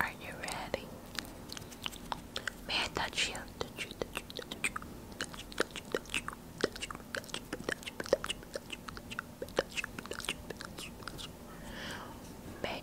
Are you ready? May I touch you? May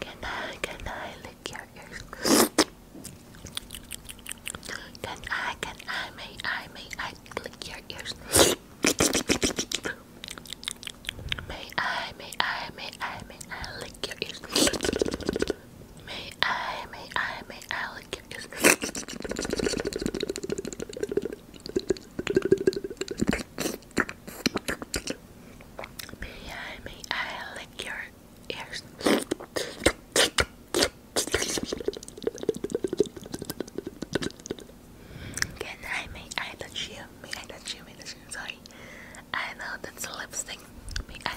Can I, can I lick your ears? Can I, can I, may I, may I lick your ears? May I, may I, may I, may I lick your ears? May I, may I, may I lick your ears? May I, may I lick your ears? Can I, may I touch you? May I touch you? May I touch you? Sorry. I know that's a lipstick. May I?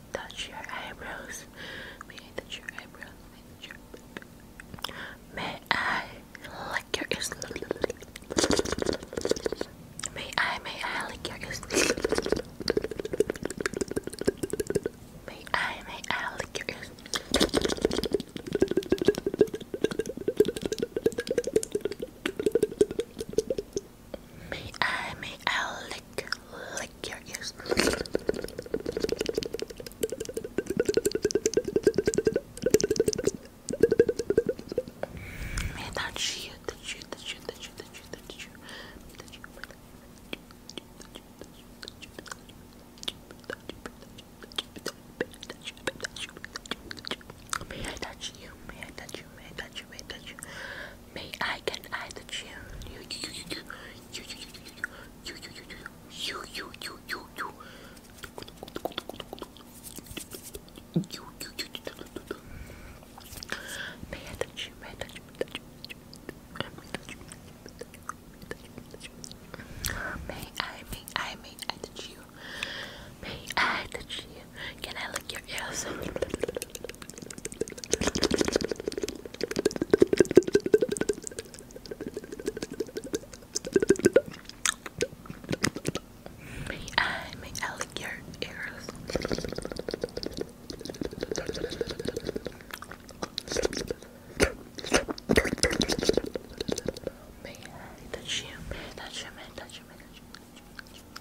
touch your eyebrows. May I touch your eyebrows? May I, touch your... May I May I, may I lick your ears? May I, may I lick your ears? May I, may I lick, lick your ears. May I touch you, touch you, touch you, touch you, touch you, touch you, touch you, touch you? touch you? touch you? touch you? touch you? touch you? touch you? touch you? touch you? touch you May I can I the chill you you you you you you you you you you you you May I touch you, may I touch you, May I, may I, may I touch you, may I touch you, can I lick your ears? I may I lick your ears? May I touch you? May I touch you? May I touch you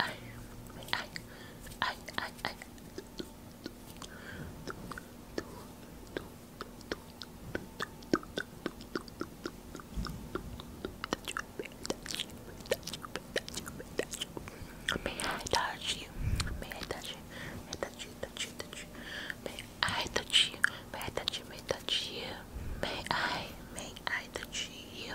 I, I, I, I, I. May I touch you? May I touch you? May I touch you? Touch you? Touch you? May I touch you? May I touch you? May I touch you? May I? May I touch you?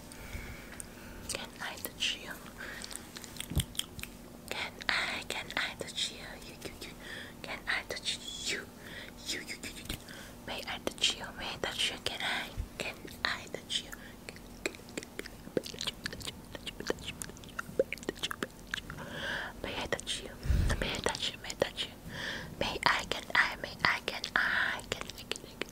Can I touch you? Can I, can I touch you? you, you, you. Can I touch you? You, you, you, you. May I touch you? May I touch you? Can I, can I touch you? May I touch you? May I touch you? May I touch you? May I, can I, may I, can I, can I, can I,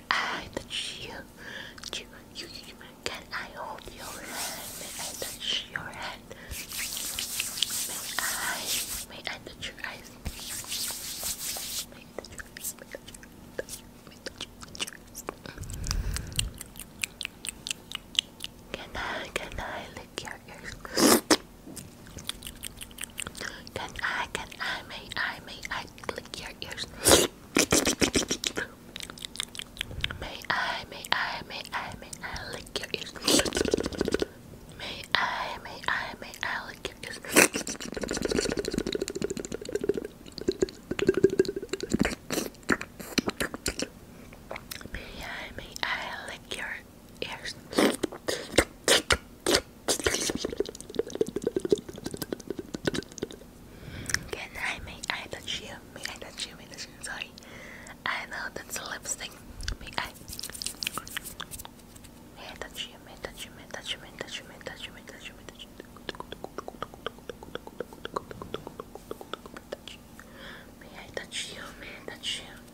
I touch you, you, you, you, can I hold your hand? May I touch your hand? May I, may I touch your eyes? May I touch your eyes? May I touch your eyes? May I touch your eyes? Can I, can I lick your ears? Can I, can I, may I, may I click your ears? May I, may I, may I, lick your ears? May I, may I, may I lick your ears? May I, I lick your ears? Good night, may I touch you? May I touch you? May I touch you? I know that's lipstick. May I? May I touch you? May I touch you? May I touch you?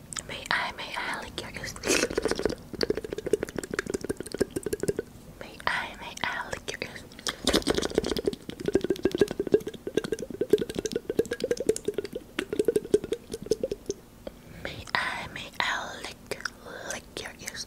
May I, may I lick your ears? May I, may I lick your ears? May I, may I lick, lick your ears?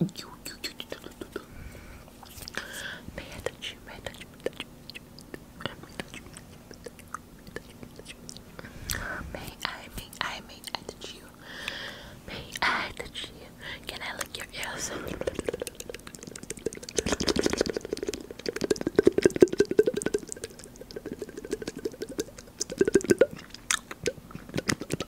you, you, May I touch you? May I touch you? May I touch you? May I, touch you? Can I lick your ears?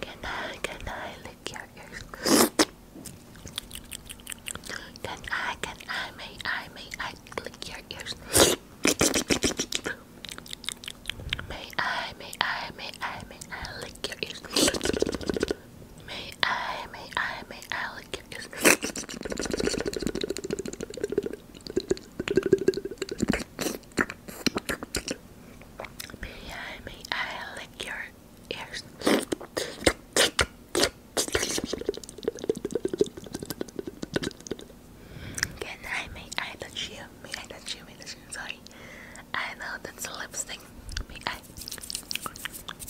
Can I, can I lick your ears? Can I, can I, may I, may I lick your ears? May I, may I, may I, may I lick your ears? May I, may I, may I like lick your ears? Can I, may I touch you? May I touch you? May I touch you? Sorry. I know that's lipstick. May I?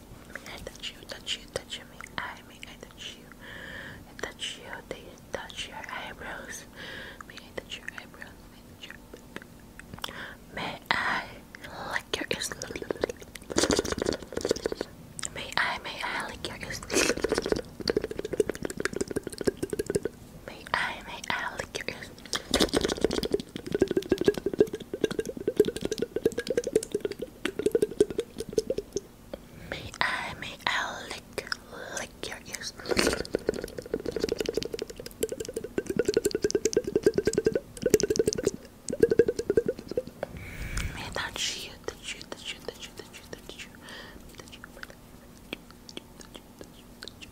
I touch you, touch you, touch me, I me, I touch you, touch you, they touch your eyebrows, may I touch your eyebrows, may I touch your May I lick your ears May I, may I lick your ears May I, may I lick your ears May I, may I lick, lick your ears. May I touch you, touch you, touch you, touch you, touch you, touch you, touch you, touch you, you,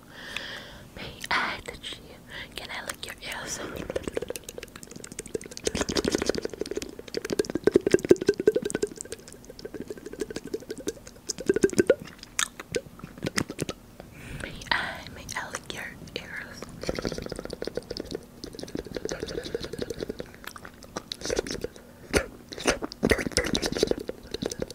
Can I lick your ears? May I lick your ears?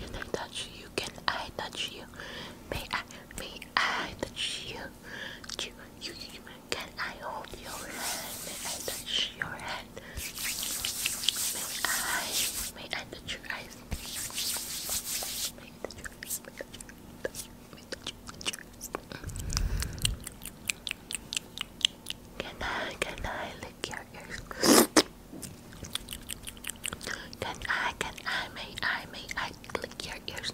Can I touch you? Can I touch you? May I, may I touch you? You, you, you. Can I hold your hand? May I touch your hand? May I, may I touch your eyes? May I touch your eyes? May I touch your eyes? May I touch your, touch your eyes? Can I, can I lick your ears? Can I, can I, may I, may I click your ears?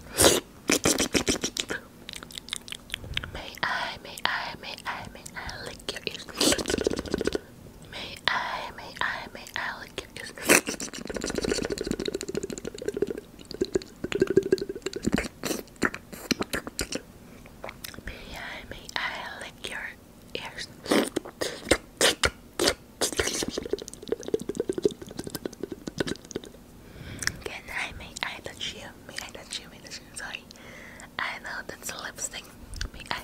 May I, may I, may I, may I lick your ears? May I, may I, may I lick your ears? May I, may I lick your ears? Can I may I touch you? May I touch you? May I touch you? I know that's lipstick. May I?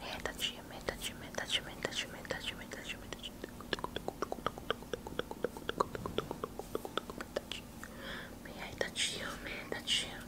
May I touch you? May I touch you? May I touch you? May I touch you?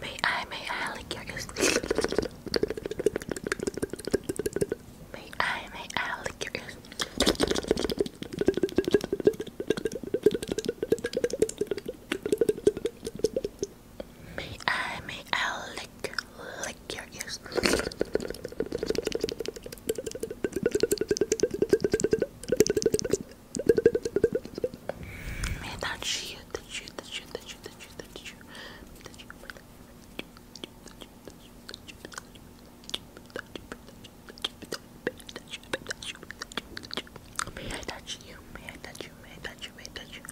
May I, may I lick your ears? May I, may I lick your ears? May I, may I lick, lick your ears? Man, May I touch you? May I touch you? May I touch you? May I touch you?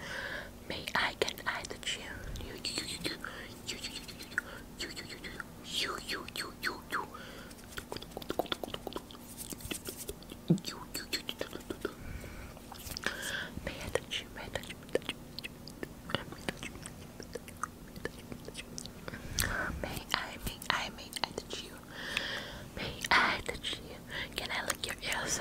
May I touch you? You you you you you you you you you you you you you you you you Pay attention, pay attention, pay attention. May I, may I, may I touch you? May I touch you? Can I lick your ears?